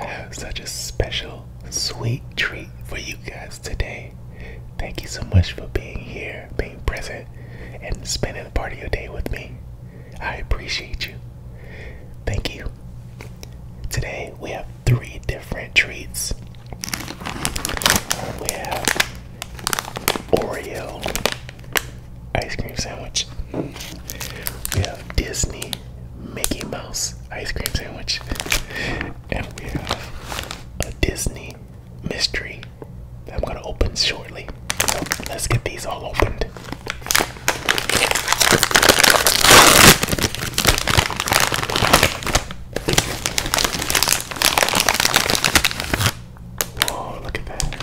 I have such a special, sweet treat for you guys today. Thank you so much for being here, being present, and spending part of your day with me. I appreciate you. Thank you. Today we have three different treats. We have Oreo ice cream sandwich. We have Disney Mickey Mouse ice cream sandwich. and we have a Disney mystery I'm gonna open shortly. let's get these all opened. Whoa, look at that.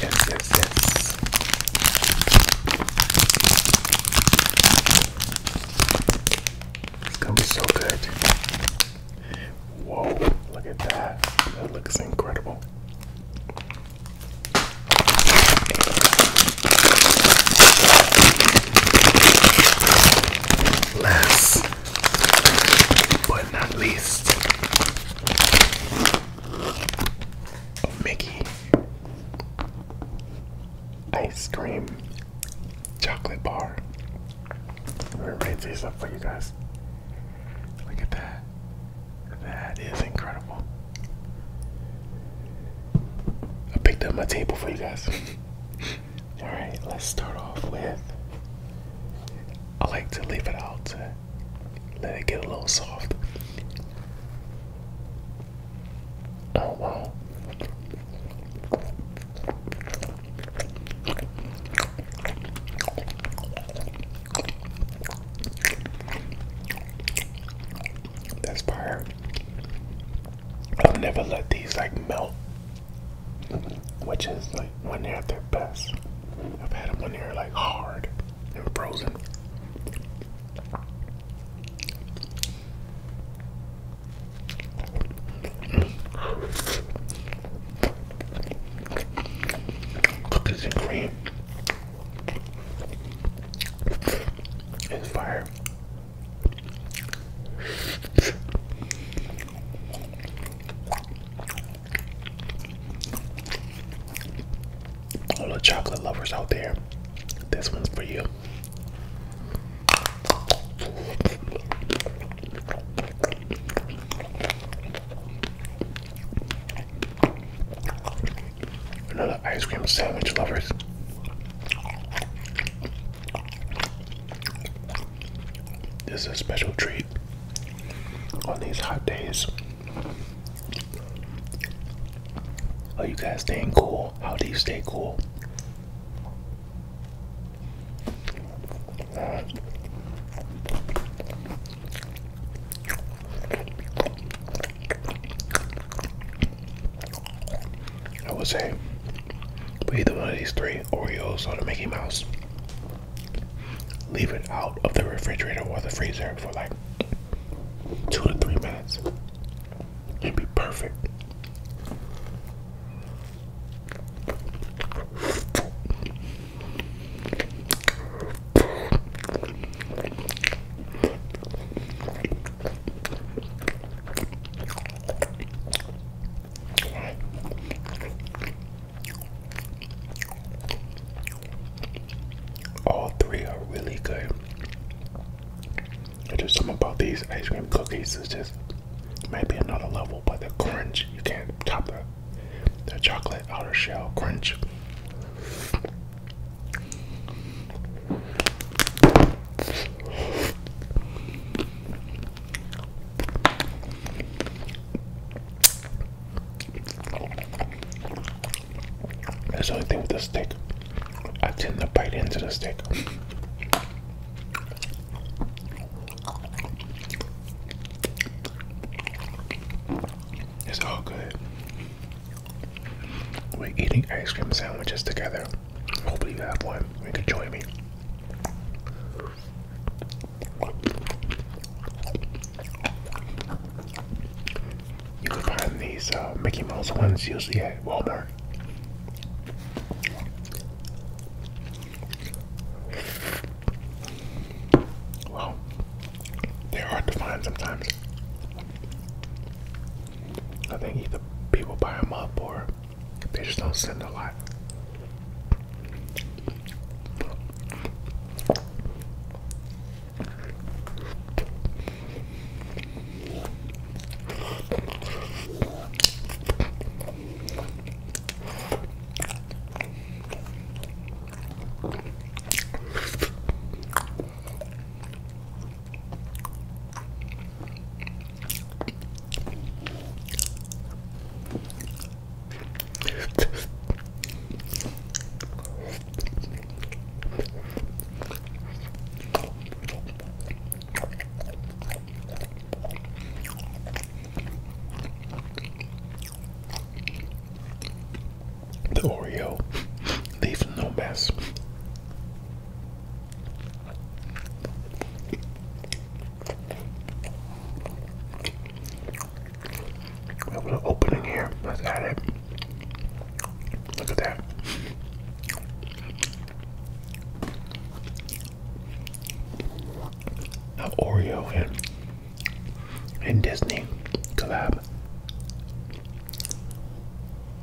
Yes, yes, yes. It's gonna be so good. Whoa, look at that. That looks incredible. Last but not least, Oh, Mickey ice cream chocolate bar. I'm gonna raise these up for you guys. Look at that. That is incredible. I picked up my table for you guys. Alright, let's start off with. I like to leave it out to let it get a little soft. Oh wow. That's fire. I'll never let these like melt which is like when they're at their best. I've had them when they're like hard and frozen. Cookies and cream is fire. All the chocolate lovers out there, this one's for you. Another ice cream sandwich lovers. This is a special treat on these hot days. Are you guys staying cool? How do you stay cool? I would say, but either one of these three Oreos or the Mickey Mouse leave it out of the refrigerator or the freezer for like two to three minutes. It'd be perfect. All three are really good. There's just something about these ice cream cookies is just maybe another level, but the crunch you can't top the the chocolate outer shell crunch. That's the only thing with the stick, I tend to bite into the stick. It's all good. We're eating ice cream sandwiches together. Hopefully, you have one. You can join me. You can find these uh, Mickey Mouse ones usually at Walmart. Well, they're hard to find sometimes. I think either people buy them up or they just don't send a lot. The Oreo leaves no mess. We have an opening here. Let's add it. Look at that. Now Oreo and and Disney collab.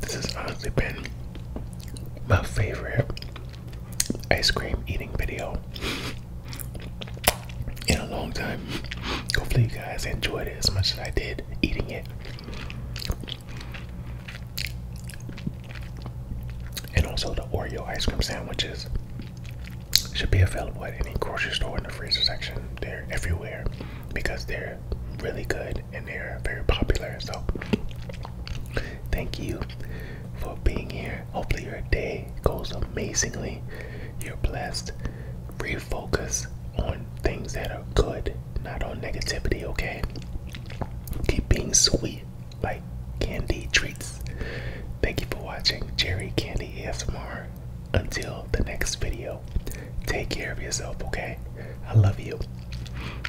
This has honestly been my favorite ice cream eating video in a long time. Hopefully, you guys enjoyed it as much as I did eating it. And also, the Oreo ice cream sandwiches should be available at any grocery store in the freezer section. They're everywhere because they're really good and they're very popular. So thank you for being here. Hopefully your day goes amazingly. You're blessed. Refocus on things that are good, not on negativity, okay? Keep being sweet like candy treats. Thank you for watching Jerry Candy ASMR. Until the next video, take care of yourself, okay? I love you.